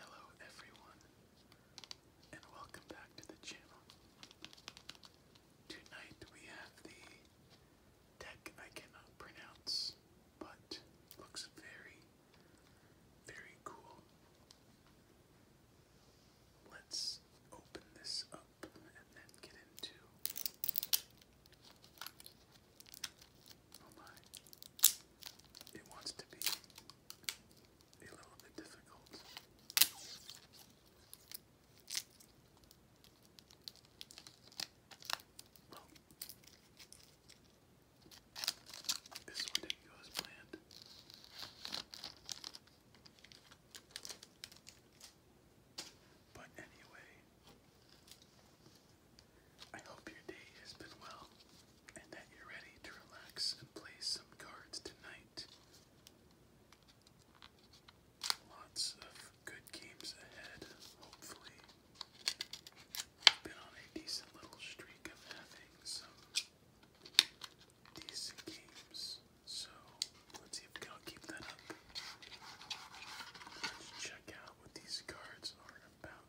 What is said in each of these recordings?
Hello everyone, and welcome back to the channel. Tonight we have the deck I cannot pronounce, but looks very, very cool. Let's open this up and then get into Oh my. It wants to be a little bit difficult. this one didn't go as planned. But anyway, I hope your day has been well and that you're ready to relax and play some cards tonight. Lots of good games ahead, hopefully. been on a decent little streak of having some decent games, so let's see if we can keep that up. check out what these cards are about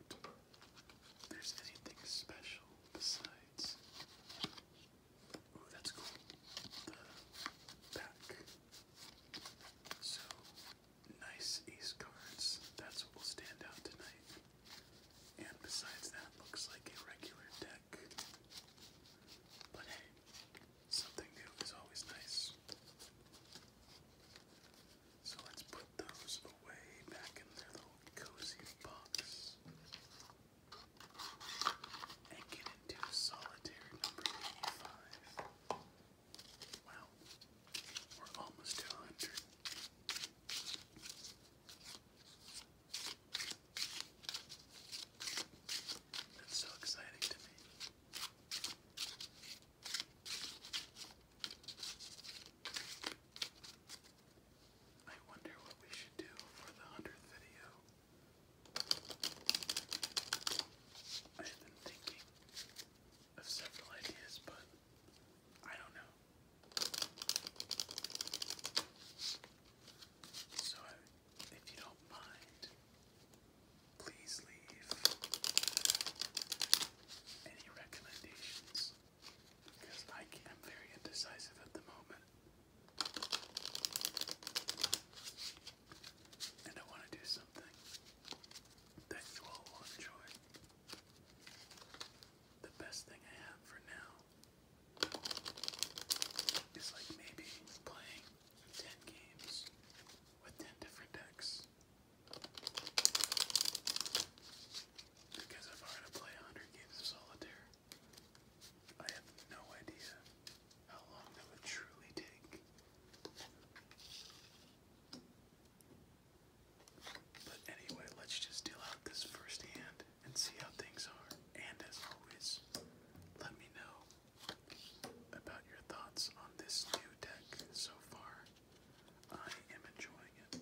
there's anything special besides. Ooh, that's cool. The back. So, nice ace cards. That's what will stand out tonight. And besides that, looks like a regular deck. But hey, something new is always nice. So let's put those away back in their little cozy box and get into solitaire number 85. Wow, we're almost to That's so exciting to me. I wonder what we should do for the hundredth video. I've been thinking of several ideas, but I don't know. So, if you don't mind, please leave any recommendations because I am very indecisive at the moment. And I want to do something that you all will enjoy. The best thing I have for now is like maybe playing 10 games with 10 different decks because if I were to play 100 games of solitaire, I have no idea how long that would truly take. But anyway, let's just deal out this first hand and see how things are. And as always, let me know about your thoughts on this new deck so far. I am enjoying it.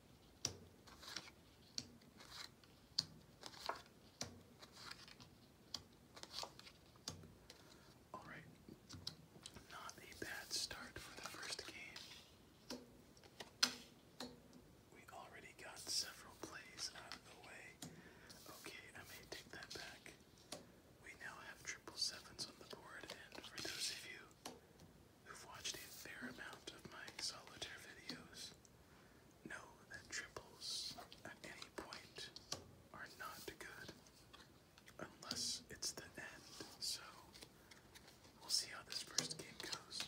Alright, not a bad start for the first game. We already got several plays out of the way. Okay, I may take that back. We now have triple sevens on the board, and for those of you who've watched a fair amount of my solitaire videos know that triples at any point are not good unless it's the end. So we'll see how this first game goes.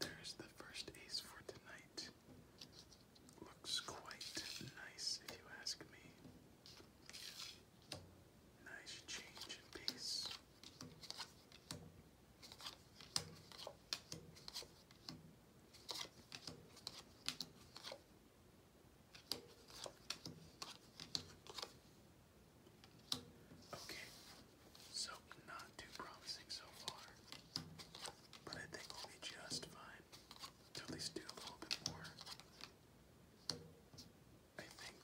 There's the first ace for tonight. Looks quite nice, if you ask me. Nice change in pace. Okay, so not too promising so far, but I think we'll be just fine at least do a little bit more. I think.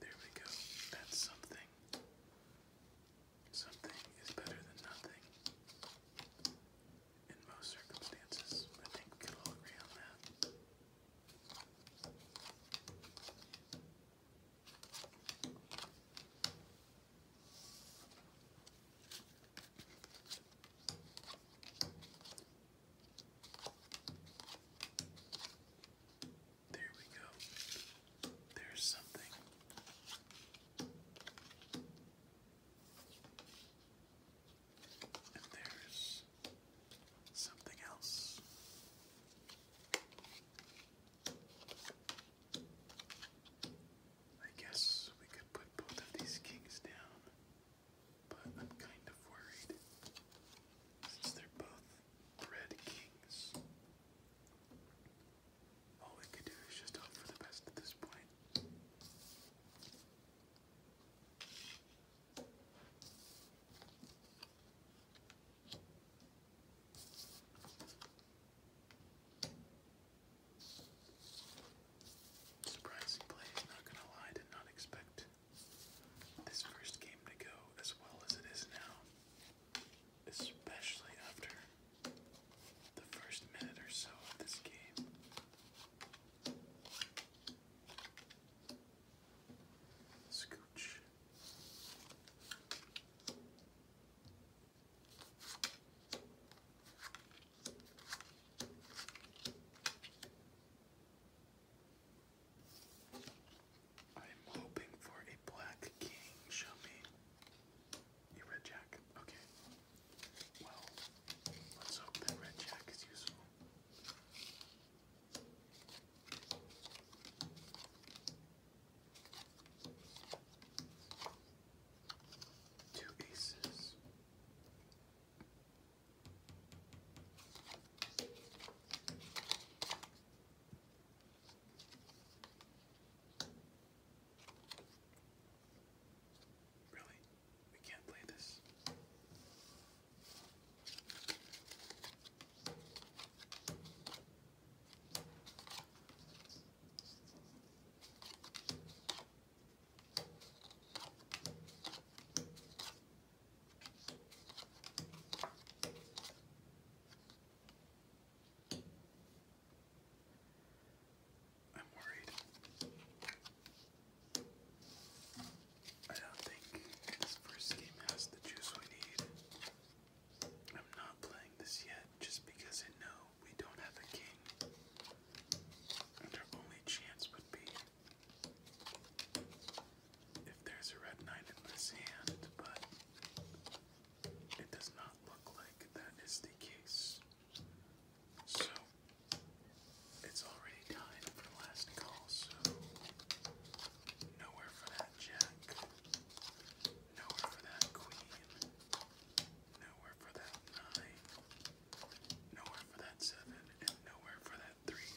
There we go. That's something. Something is better than nothing in most circumstances. I think we can all agree on that. There we go. There's something. And there's something else. I guess we could put both of these kings down, but I'm kind of worried since uh, they're uh, both red kings. All we could do is just hope for the best at this point. Surprising play not gonna lie, did not expect this first game to go as well as it is now. Especially after the first minute or so of this game. Scooch. I'm hoping for a black king. Show me. You red jack. Okay. Well, let's hope that red jack is useful. Two aces. Really? We can't play this. I'm worried. I don't think this first game has the juice we need. I'm not playing this yet just because I we don't have a king. our only chance would be if there's a red knight in this hand, but it does not look like that is the case. So it's already tied for last call, so nowhere for that jack, nowhere for that queen, nowhere for that nine, nowhere for that seven, and nowhere for that three.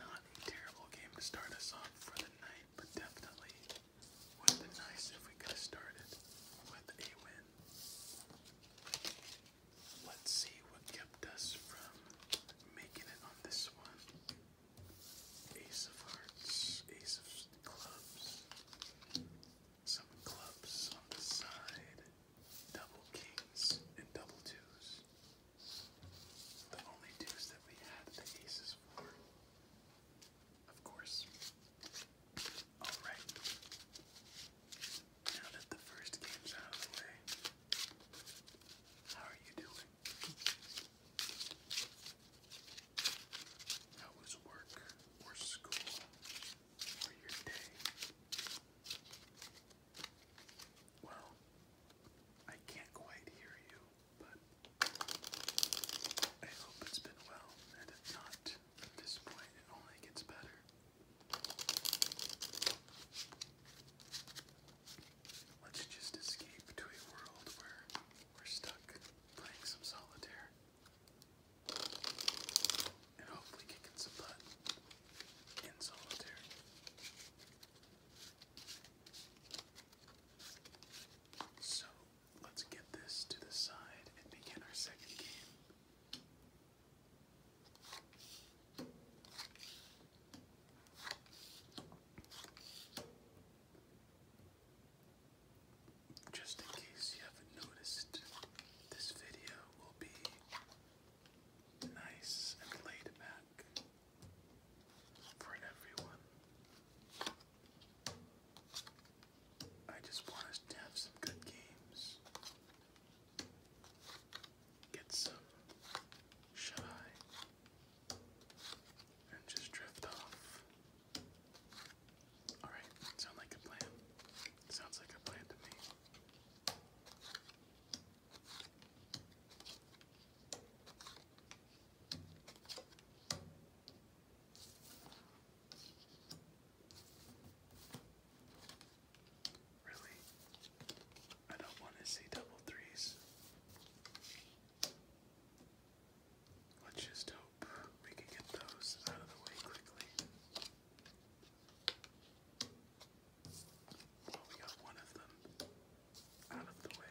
Not a terrible game to start us off for the night, but definitely would have been nice if we could started with a win. Let's see what kept us from making it on this one. Ace of hearts, ace of clubs, some clubs on the side, double kings, and double twos. The only twos that we had the aces for. Of course. Alright. Now that the first game's out of the way, how are you doing? How was work or school or your day? Well, I can't quite hear you, but I hope it's been well, and if not, at this point, it only gets better. Let's just escape to a world where we're stuck playing some solitaire and hopefully kicking some butt in solitaire. So let's get this to the side and begin our second game. Just in case you haven't noticed, this video will be nice and laid back for everyone. I just want us to have some good games get some shut eye and just drift off. Alright, sound like a plan. Sounds like a plan to me. Really? I don't want to see double threes. Let's just hope we can get those out of the way quickly. Well, we got one of them out of the way.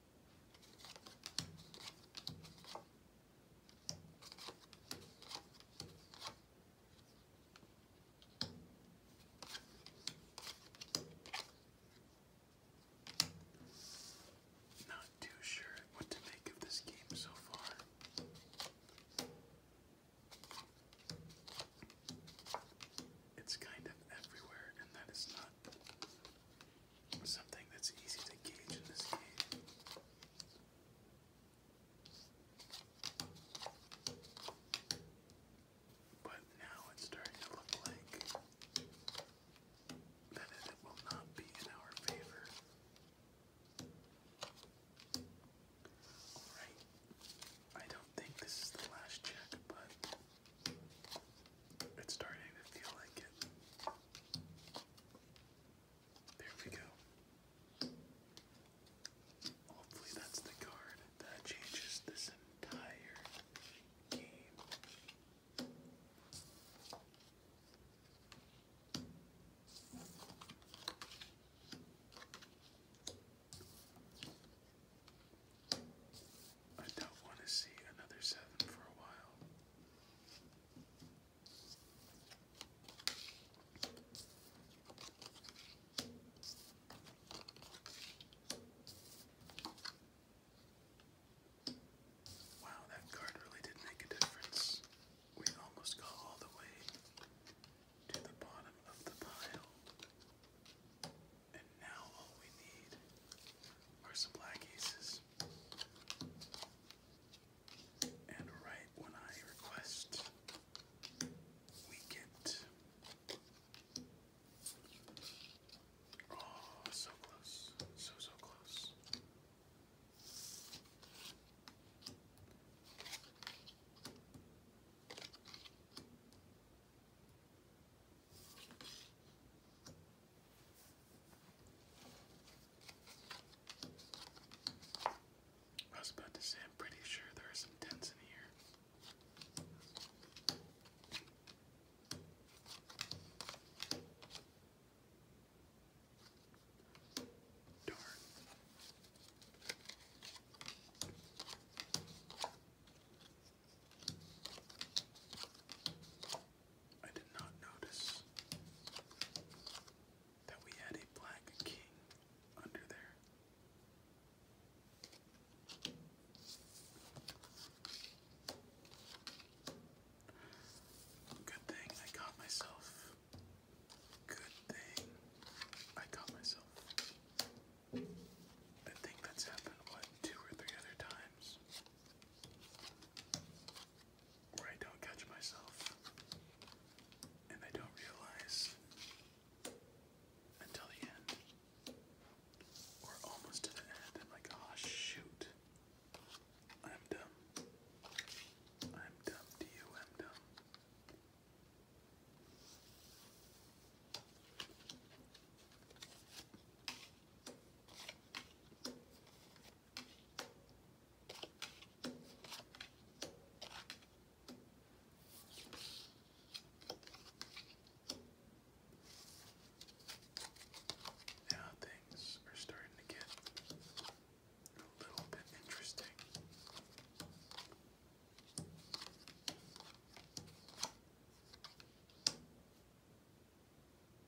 Not too sure what to make of this game so far. It's kind of everywhere, and that is not something that's easy to gauge in this game. But now it's starting to look like that it will not be in our favor. Alright. I don't think this is the last check, but it's starting to feel like it. There we go. Hopefully, that's the card that changes this entire game. I don't want to see another seven for a while. Wow, that card really did make a difference. We almost got all the way to the bottom of the pile. And now all we need are some black aces. And right when I request, we get. Oh, so close. So, so close. I was about to say, I'm pretty sure there are some tents in here. Darn. I did not notice that we had a black king under there. Good thing I caught myself. Good thing I caught myself. I think that's happened, what, two or three other times? where I don't catch myself and I don't realize until the end or almost to the end. I'm like, oh shoot, I'm done. I'm dumb to you, I'm done. Now things are starting to get a little bit interesting.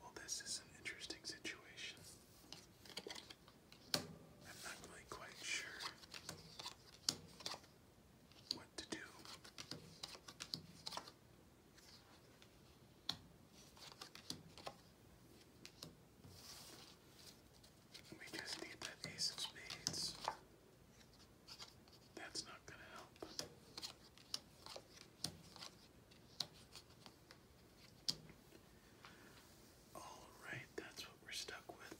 Well, this is an interesting situation. I'm not really quite sure what to do. We just need that ace of spades. That's not going to help. Alright, that's what we're stuck with.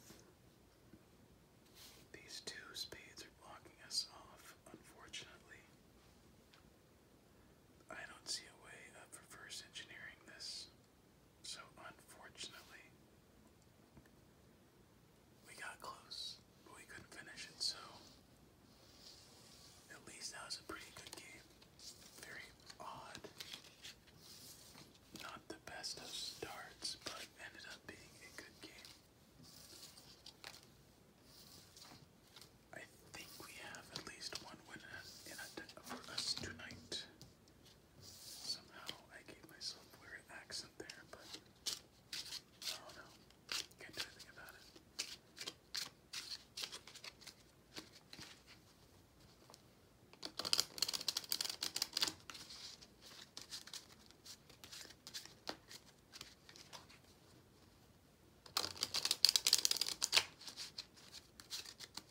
These two spades are blocking us off, unfortunately. I don't see a way of reverse engineering this, so unfortunately, we got close, but we couldn't finish it, so at least that was a pretty good game. Very odd. Not the best of starts, but ended up being a good game. I think we have at least one winner in us tonight. Somehow I gave myself a weird accent there, but I don't know. Can't do anything about it.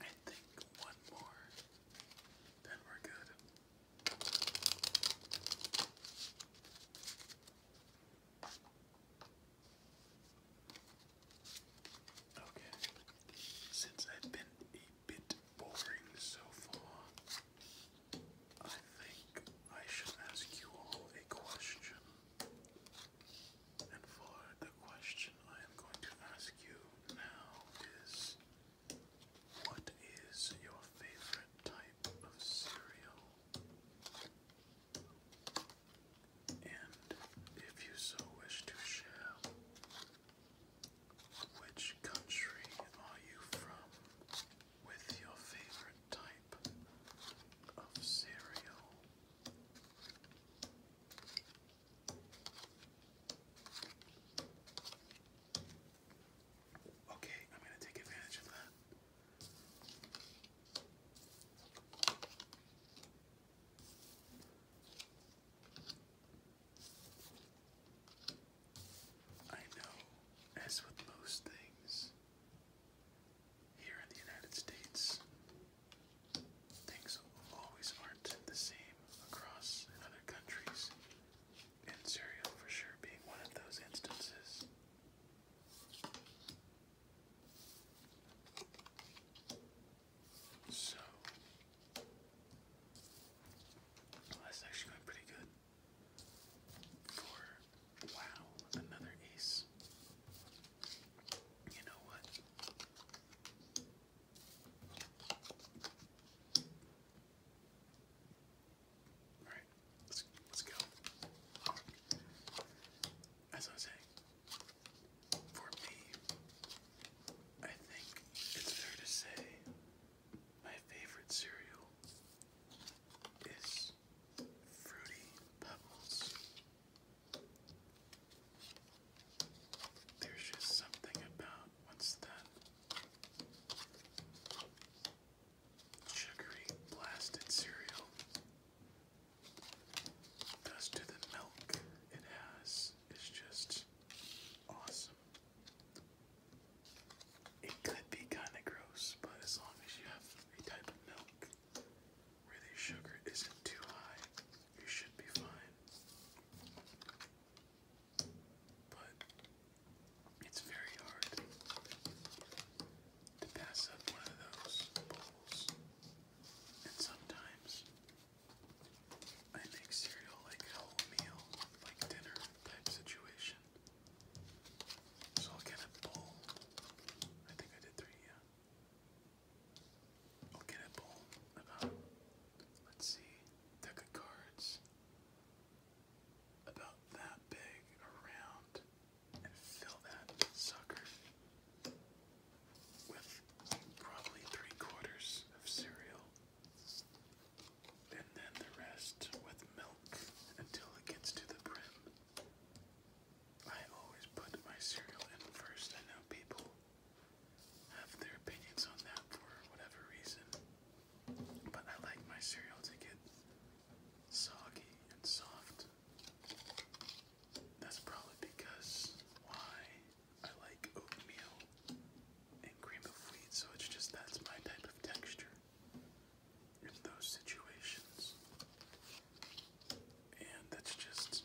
I think one more, then we're good. Okay, since I've been a bit boring so far, I think I should ask you all a question. And for the question I am going to ask you now is what is your favorite type of cereal? And if you so wish to share, which country are you from with your favorite type of cereal? Okay, I'm going to take advantage of that. I know, as with most things here in the United States, Things always aren't the same across other countries, and Syria for sure being one of those instances. So, that's actually going pretty good. For, wow, another ace. You know what? All right, let's let's go. As I was saying, for me, I think it's fair to say my favorite cereal is Fruity Pebbles. There's just something about what's that sugary blasted cereal does to the milk it has is just awesome. It could be kind of gross, but as long as you have a type of milk where the sugar isn't too high, you should be fine. But it's very hard to pass up one of those bowls. And sometimes I make cereal like a meal, like dinner type situation. So I'll get a bowl. I think I did three, yeah. I'll let's see, deck of cards about that big around and fill that sucker with probably three quarters of cereal and then the rest with milk until it gets to the brim. I always put my cereal in first. I know people have their opinions on that for whatever reason. But I like my cereal to get soggy and soft. That's probably because why I like oatmeal and cream of wheat, so it's just that's my type of texture in those situations and that's just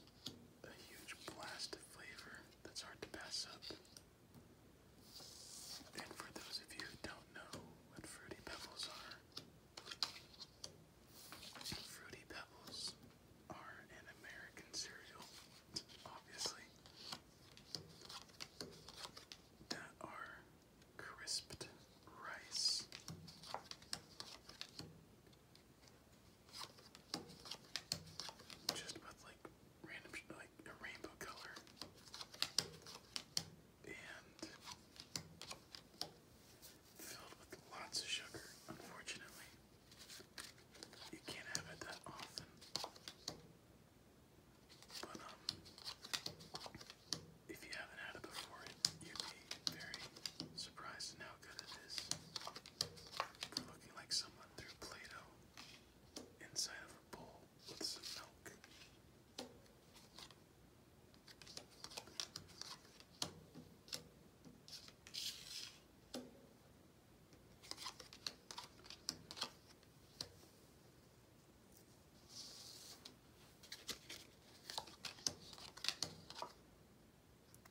a huge blast of flavor that's hard to pass up. And for those of you who don't know what Fruity Pebbles are, Fruity Pebbles are an American cereal, obviously, that are crisped rice just with like random, like a rainbow color, and filled with lots of sugar. Unfortunately, you can't have it that often. But um, if you haven't had it before, you'd be very surprised to know how good it is for looking like someone through Play-Doh inside of a bowl with some milk.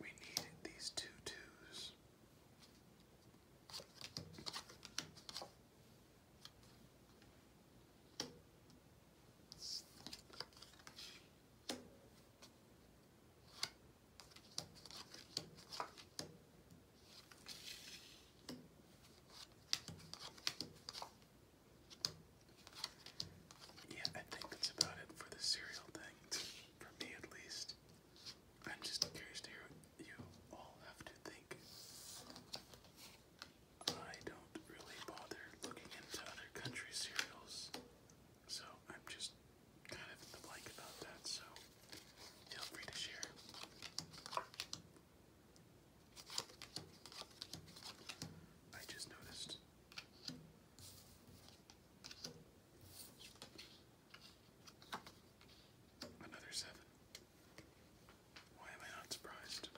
We need these two twos. Yeah, I think that's about it for the cereal thing, for me at least. I'm just curious to hear what you all have to think. I don't really bother looking into other country cereals, so I'm just kind of in the blank about that, so feel free to share. I just noticed Another seven. Why am I not surprised?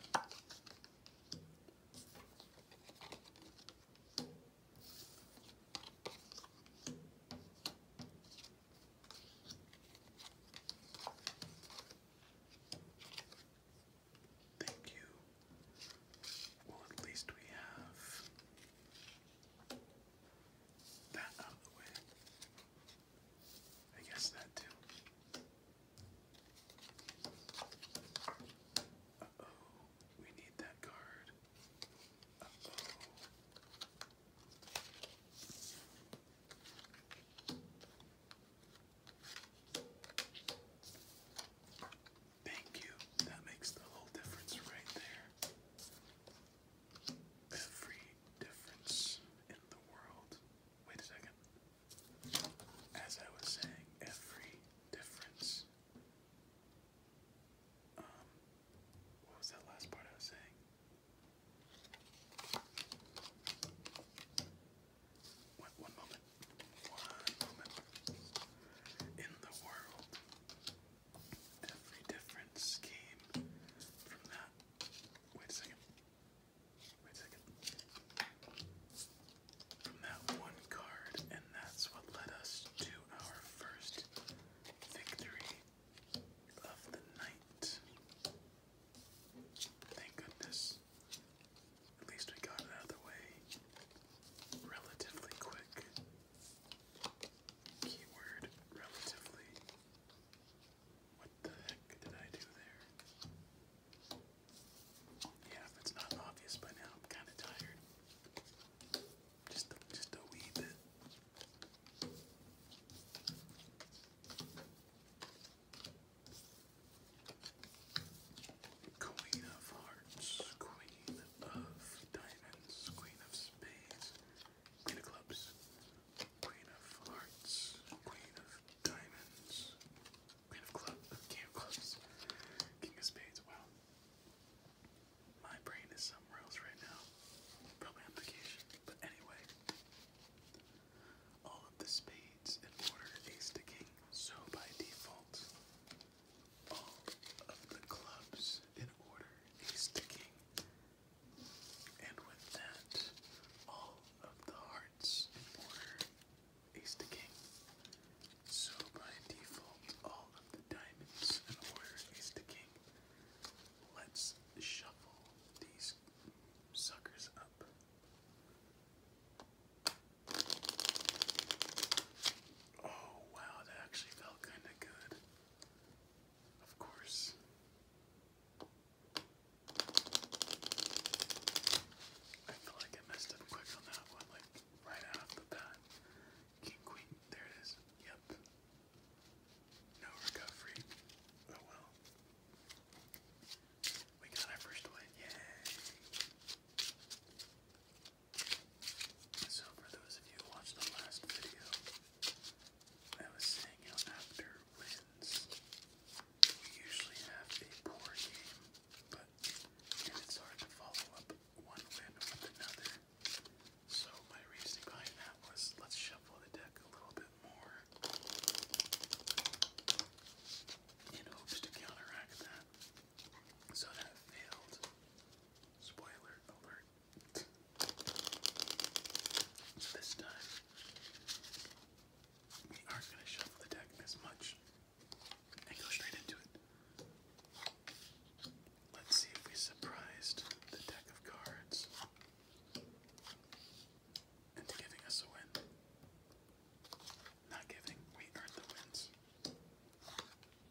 Thank you. Well, at least we have that out of the way. I guess that too. Uh oh, we need that card. Uh oh. Thank you. That makes the whole difference right there. Every difference in the world. Wait a second. As I was saying, every difference. Um, what was that last part I was saying? One, moment. One moment. In the world every different scheme from that. Wait a second. Wait a second. From that one card, and that's what led us to our first victory of the night. Thank goodness. At least we got it out of the way relatively quick. Keyword relatively. What the heck did I do there? Yeah, if it's not obvious by now, I'm kind of tired. Just just a wee bit. Queen of Hearts, Queen of Diamonds, Queen of Queen of Clubs, Queen of Hearts, Queen of Diamonds, Queen of Clubs, King of Clubs, King of Spades. Wow. My brain is somewhere else right now. Probably on But anyway, all of the spades in order ace to king, so by default, all of the clubs in order he's sticking. And with that, all of the hearts in order ace to king. So by default, all of the diamonds in order ace to king. Let's shuffle these suckers up. Oh wow, that actually felt kinda good. Of course. I feel like I messed up quick on that one, like right after that. King Queen, there it is. Yep. No recovery. Oh well. We got our first win. Yay! So for those of you who watched the last video, I was saying you know after wins we usually have a poor game, but it's hard to follow up one win with another. So my reasoning behind that was let's shuffle the deck a little bit more in hopes to counteract that. So that failed. Spoiler alert this time, we aren't going to shuffle the deck as much and go straight into it. Let's see if we surprised the deck of cards into giving us a win. Not giving, we earned the wins.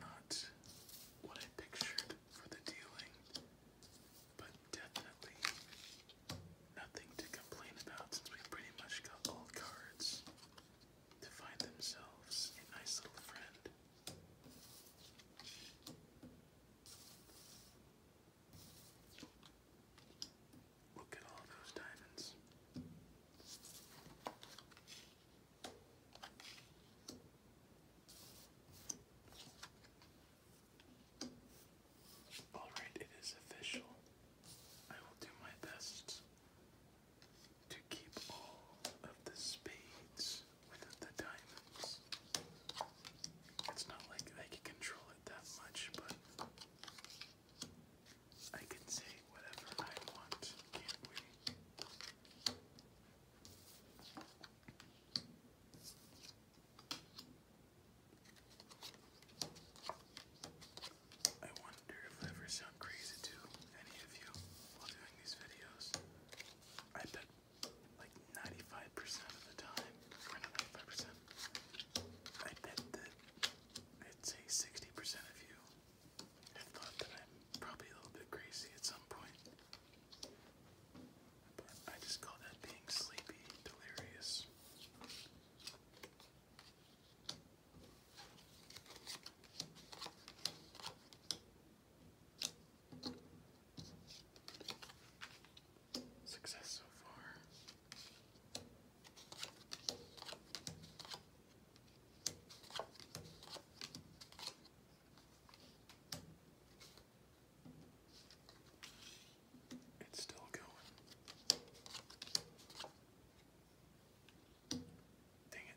Not what I pictured for the dealing, but definitely nothing to complain about since we pretty much got all cards to find themselves a nice little friend. Look at all those diamonds. All right, it is official. I will do my best to keep all of the spades within the diamonds. It's not like I can control it that much, but I can say whatever I want, can't we? I wonder if I ever sound crazy to any of you while doing these videos. I bet like 95% of the time, 95%, I bet that I'd 60% of you have thought that I'm probably a little bit crazy at some point. But I just call that being sleepy, delirious. Success so far. It's still going. Dang it.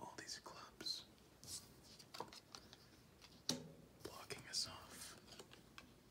All these clubs blocking us off.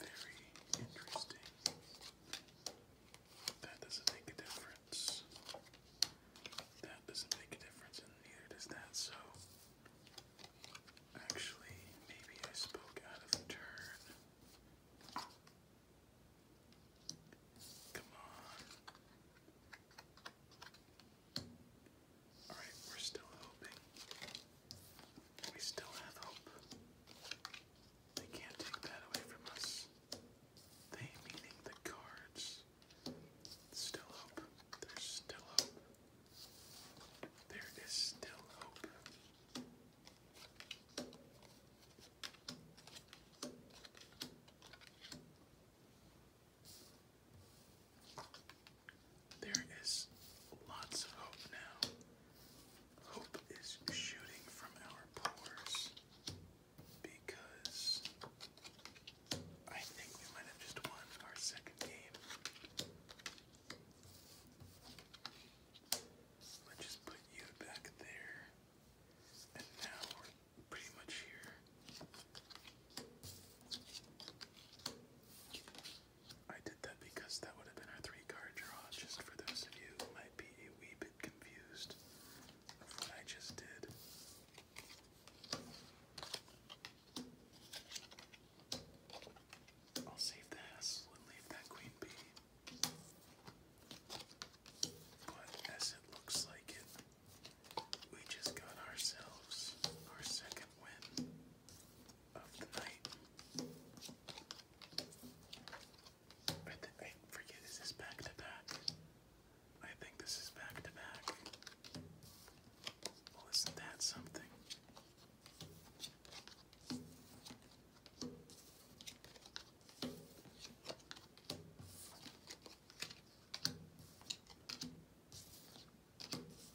Very interesting. That doesn't make a difference. That doesn't make a difference, and neither does that, so. Actually, maybe I spoke out of turn. Come on. Alright, we're still hoping. We still have hope. They can't take that away from us. They, meaning the cards. Still hope. There's still hope. There is still hope. There is lots of hope now. Hope is shooting from our pores because I think we might have just won our second game. Let's just put you back there. And now we're pretty much here. I did that because that would have been our three card draw, just for those of you who might be a wee bit confused of what I just did. I'll save the hassle and leave that queen bee. But as it looks like it, we just got ourselves our second win of the night. I forget, is this back to back? I think this is back to back. Well, isn't that something?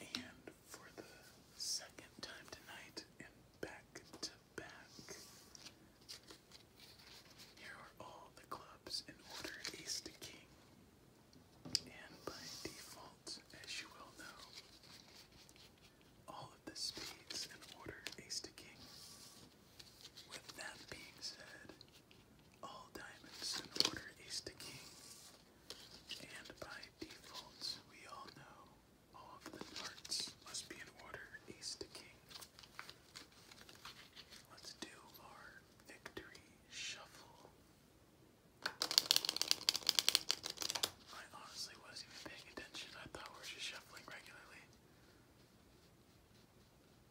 And for the second time tonight and back to back, here are all the clubs in order ace to king. And by default, as you well know, all of the spades in order ace to king with that being said, all diamonds in order ace to king. And by default, we all know all of the hearts must be in order ace to king. Let's do our victory shuffle. I honestly wasn't even paying attention. I thought we were just shuffling regularly.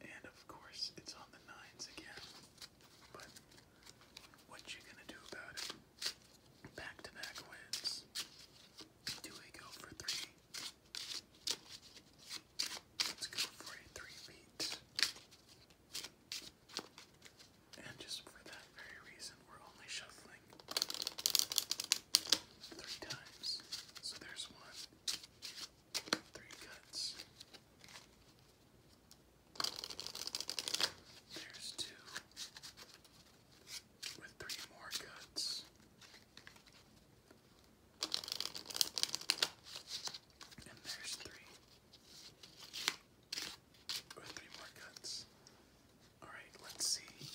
And of course, it's on the nines again. But what you gonna do about it? Back to back wins. Do we go for three? Let's go for a three beat. And just for that very reason, we're only shuffling three times. So there's one, Three cuts. There's two. With three more cuts. And there's three. With three more cuts. Alright, let's see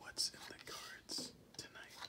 what's in the cards tonight.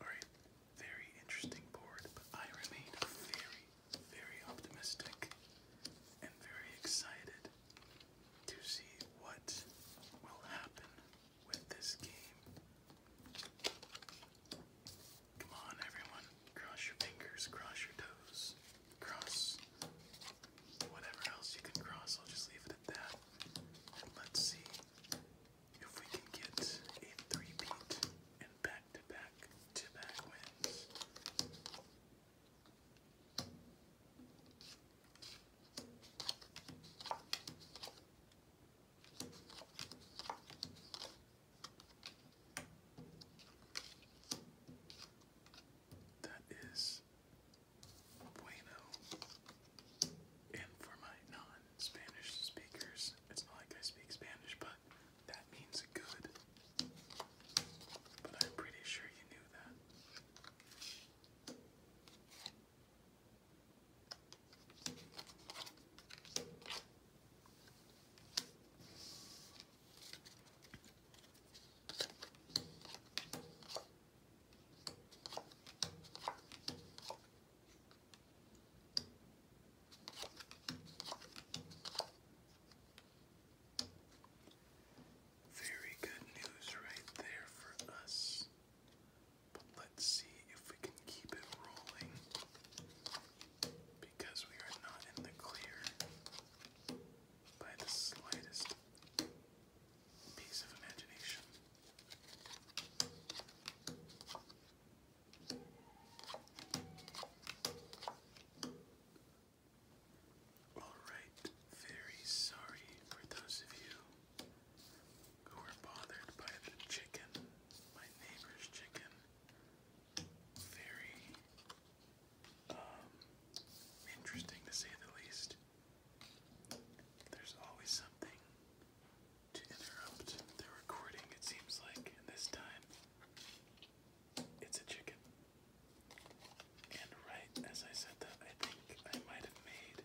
Alright, very interesting board, but I remain very, very optimistic and very excited to see what will happen with this game. Come on, everyone. Cross your fingers, cross your toes, cross whatever else you can cross. I'll just leave it at that. let's see if we can get a 3 and back-to-back, two-back wins. That is bueno. And for my non Spanish speakers, it's not like I speak Spanish, but that means good. But I'm pretty sure you knew that. Very good news right there for us. But let's see if we can keep it rolling because we are not in the clear by the slightest piece of imagination. Alright, very sorry for those of you who were bothered by the chicken, my neighbor's chicken very um, interesting to say the least. There's always something to interrupt the recording, it seems like, this time it's a chicken. And right as I said that, I think I might have made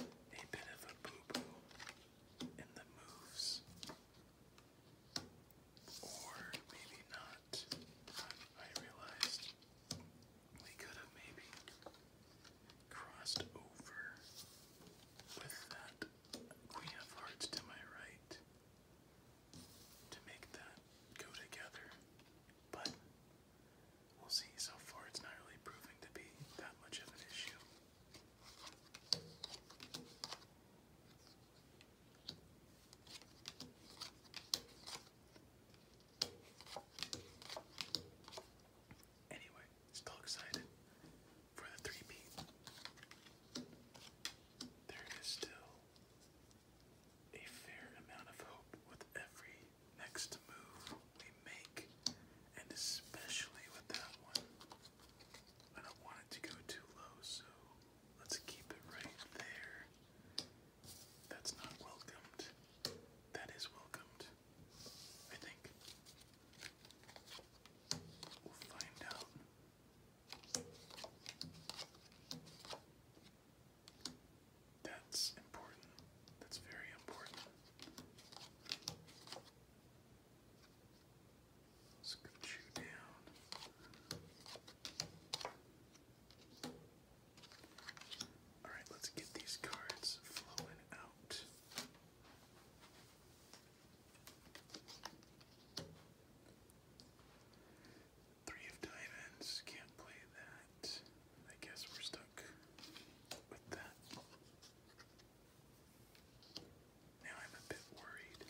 a bit of a boo boo in the moves or maybe not. I realized we could have maybe crossed over with that Queen of Hearts to my right to make that go together. But we'll see. So far, it's not really proving to be that much of an issue. Anyway, still excited for the three P. There is still a fair amount of hope with every next move we make, and especially with that one. I don't want it to go too low, so Let's keep it right there. That's not welcomed. That is welcomed. I think. We'll find out. That's important. That's very important. Let's get you down. Alright, let's get these cards flowing out. Three of diamonds, can't play that. I guess we're stuck with that. Now I'm a bit worried.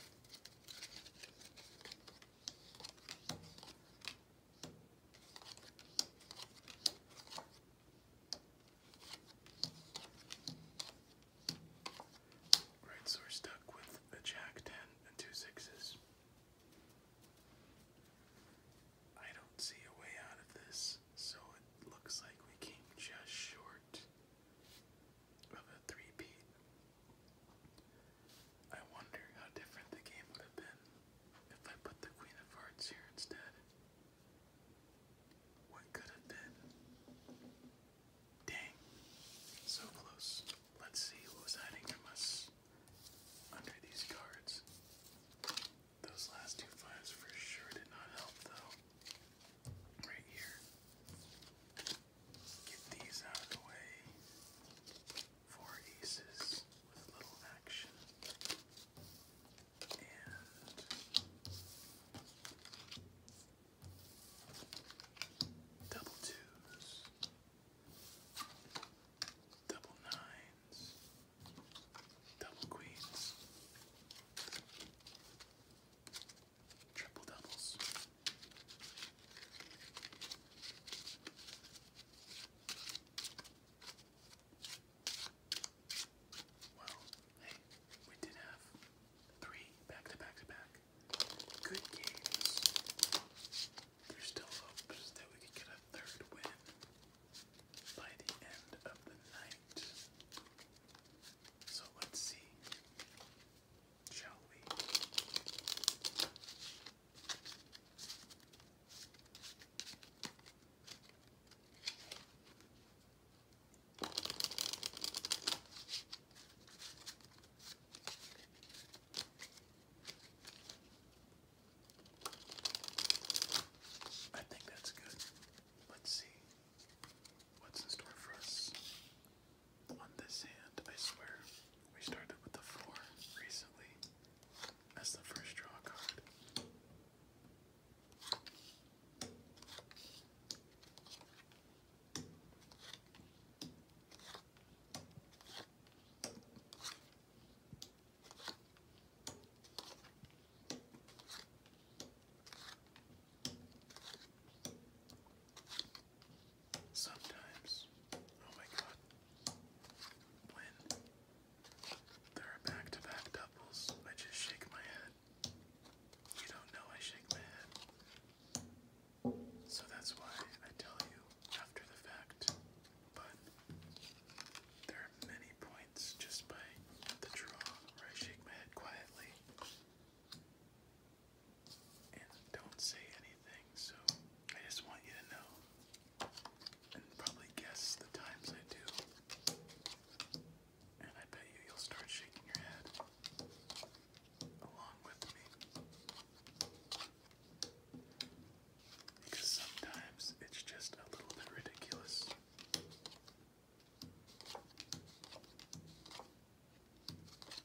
Right, so we're stuck with a jack ten and two sixes. I don't see a way out of this, so it looks like we came just short of a three-peat. I wonder how different the game would have been if I put the Queen of Hearts here instead. What could have been? Dang, so close. Let's see what was hiding from us under these cards. Those last two fives for sure did not help, though. Right here get these out of the way. Four aces with little action. And double twos, double nines, double queens. Triple doubles. Well, hey, we did have three back to back to back. Good games. There's still hopes that we could get a third win by the end of the night. So let's see I think that's good. Let's see what's in store for us on this hand, I swear. We started with the 4 recently as the first draw card. Sometimes, oh my god, when there are back to back doubles, I just shake my head. You don't know I shake my head. So that's why I tell you after the fact. But there are many points just by the draw where I shake my head quietly and don't say anything. So I just want you to know and probably guess the times I do. And I bet you you'll start shaking your head along with me. Because sometimes it's just a little bit ridiculous.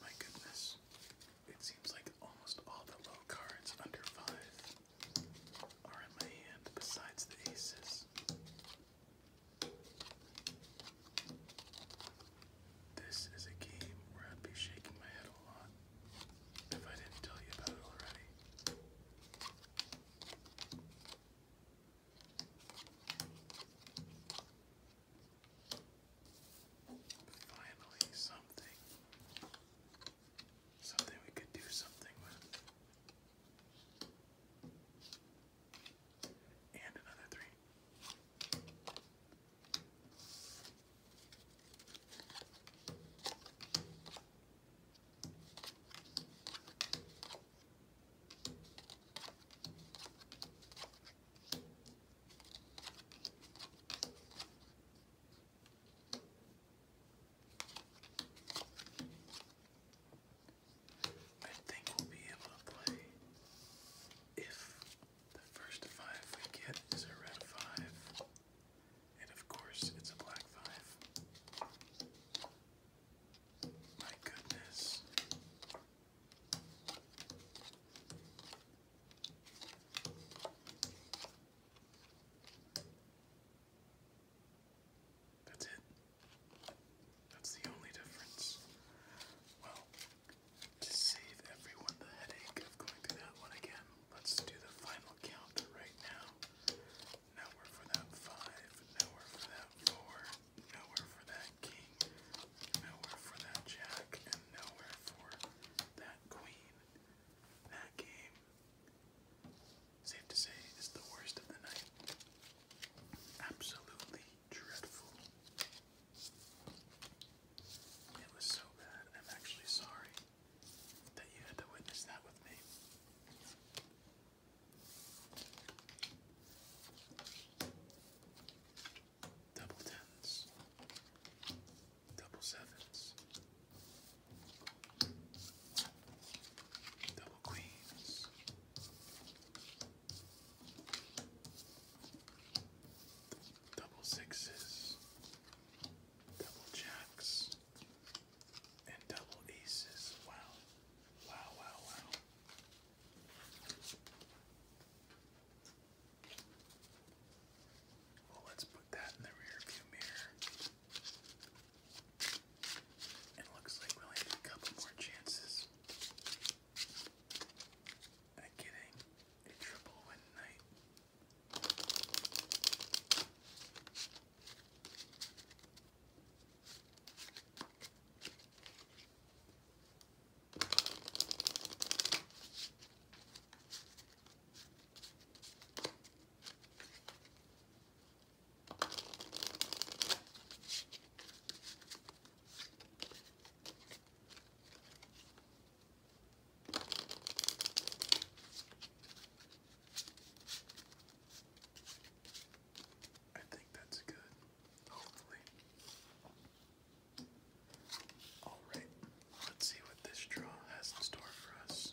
My goodness, it seems like almost all the low cards under five are in my hand besides the aces. This is a game where I'd be shaking my head a lot if I didn't tell you about it already. Finally, something. Something we could do something with. And another three. I think we'll be able to play if the first five we get is a red five, and of course, it's a black five. My goodness. That's it. That's the only difference. Well, to save everyone the headache of going through that one again, let's do the final count right now. Nowhere for that five, nowhere for that four, nowhere for that king, nowhere for that jack, and nowhere for that queen. That game, safe to say, is the worst of the night. Absolutely dreadful. It was so bad. I'm actually sorry that you had to witness that with me. Double tens, double sevens, double queens, double sixes, double jacks, and double aces. Wow. Wow, wow, wow. Well, let's put that in the rearview mirror. It looks like we only have a couple more chances at getting a triple win night. I think that's good, hopefully. Alright, let's see what this draw has in store for us.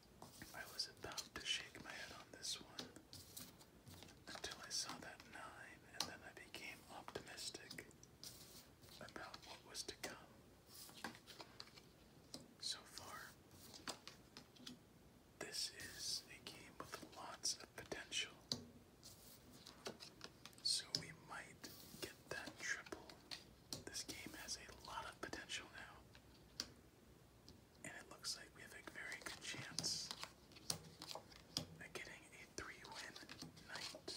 I was about to shake my head on this one until I saw that 9, and then I became optimistic about what was to come. So far, this is a game with lots of potential. So we might get that triple this game has a lot of potential now. And it looks like we have a very good chance at getting a three win night.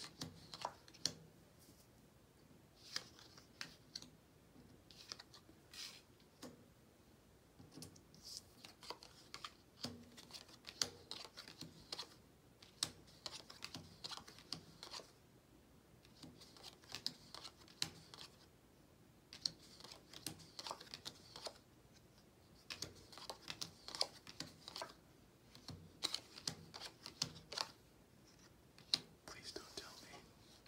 Please don't tell me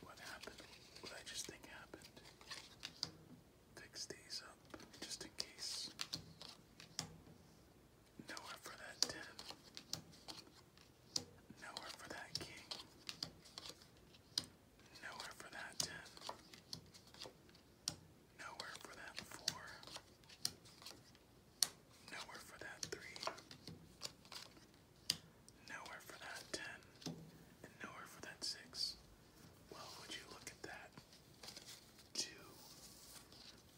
what happened, what I just think happened. Fix these up just in case. Nowhere for that 10. Nowhere for that king. Nowhere for that ten. Nowhere for that four. Nowhere for that three. Nowhere for that ten. And nowhere for that six. Well, would you look at that? Two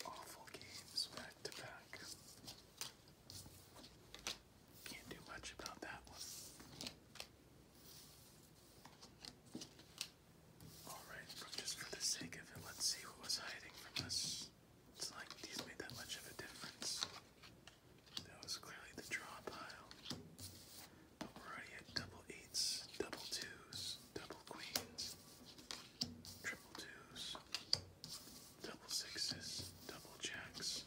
awful games back to back. Can't do much about that one. Alright, just for the sake of it, let's see what was hiding from us. It's like these made that much of a difference. That was clearly the draw pile. But we're already at double eights, double twos, double queens, triple twos, double sixes, double jacks,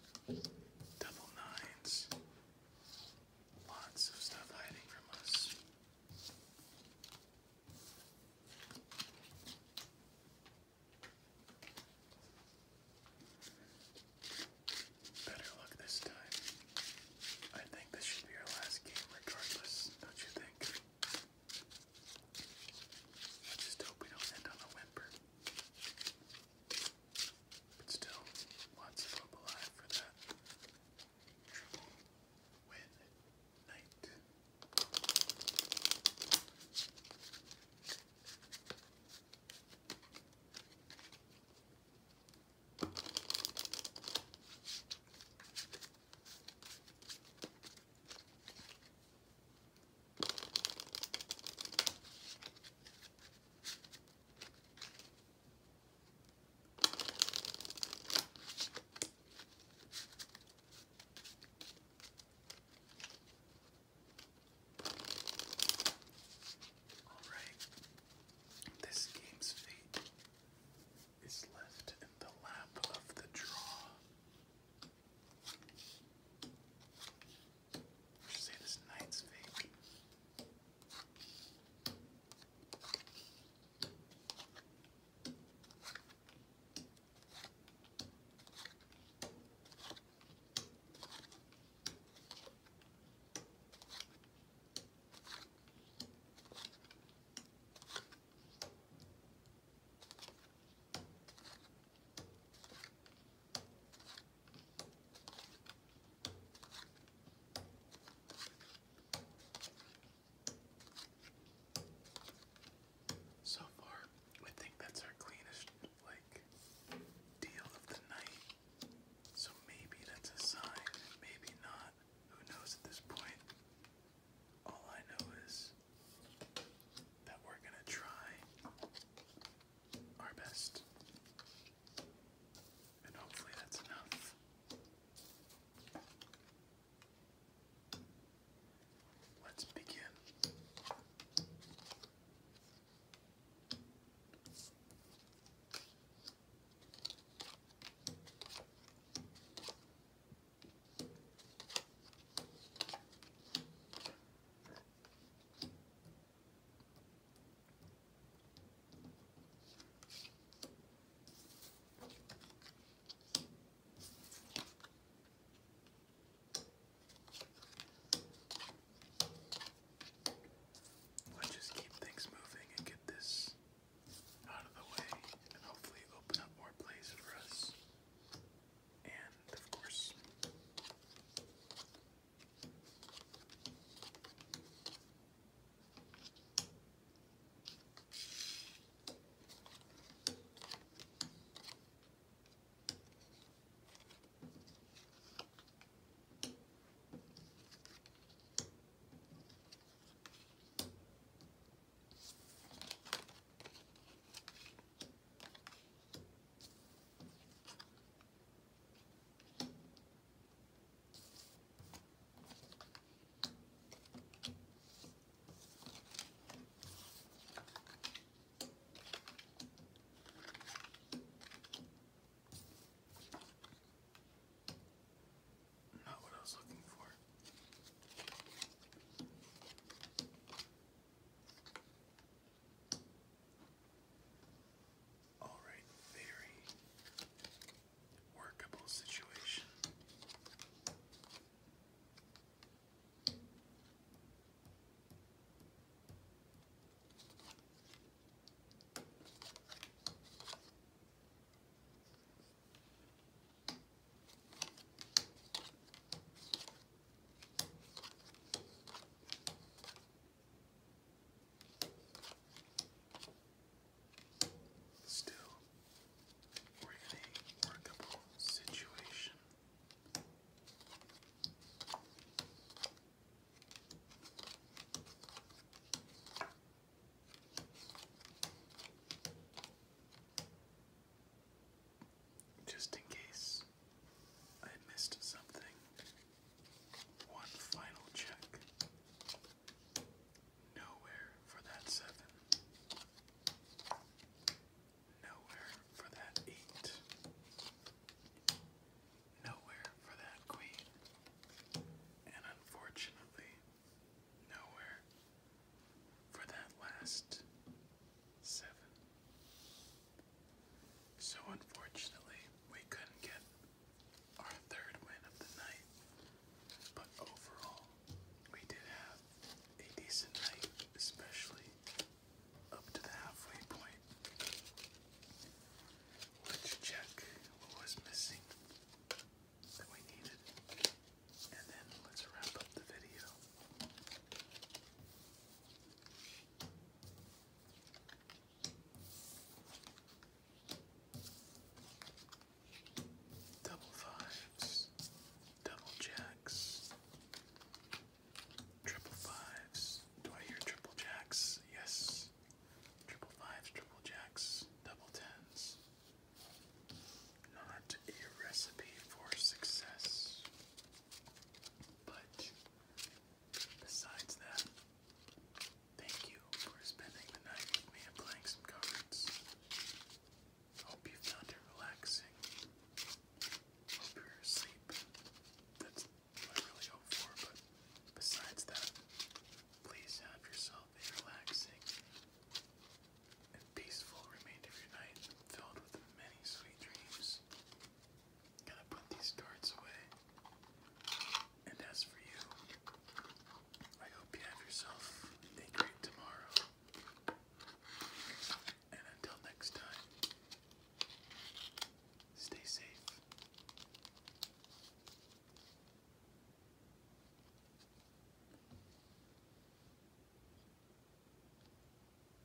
double nines. Lots of stuff hiding from us. Better luck this time. I think this should be our last game regardless, don't you think? let just hope we don't end on a whimper. But still, lots of hope alive for that triple win night. Alright, this game's fate is left in the lap of the draw. Let's say this night's fake. So far, I think that's our cleanest like deal of the night. So maybe that's a sign, maybe not. Who knows at this point? All I know is that we're gonna try our best. And hopefully that's enough. Let's begin. Let's just keep things moving and get this out of the way and hopefully open up more plays for us and of course, not what I was looking for. All right, very workable situation. Still, we're in a workable situation. Just in case I missed something, one final check. Nowhere for that seven. Nowhere for that eight. Nowhere for that queen. And unfortunately, nowhere for that last seven. So unfortunately, we couldn't get our third win of the night, but overall, we did have a decent night, especially up to the halfway point. Let's check what was missing that we needed, and then let's wrap up the video. Double fives, double jacks, triple fives. Do I hear triple jacks? Yes. Triple fives, triple jacks, double tens. Not a recipe for success, but Besides that, thank you for spending the night with me and playing some cards. Hope you found it relaxing. Hope you're asleep. That's what I really hope for, but besides that, please have yourself a relaxing and peaceful remainder of your night filled with many sweet dreams i to put these darts away. And as for you, I hope you have yourself a great tomorrow. And until next time, stay safe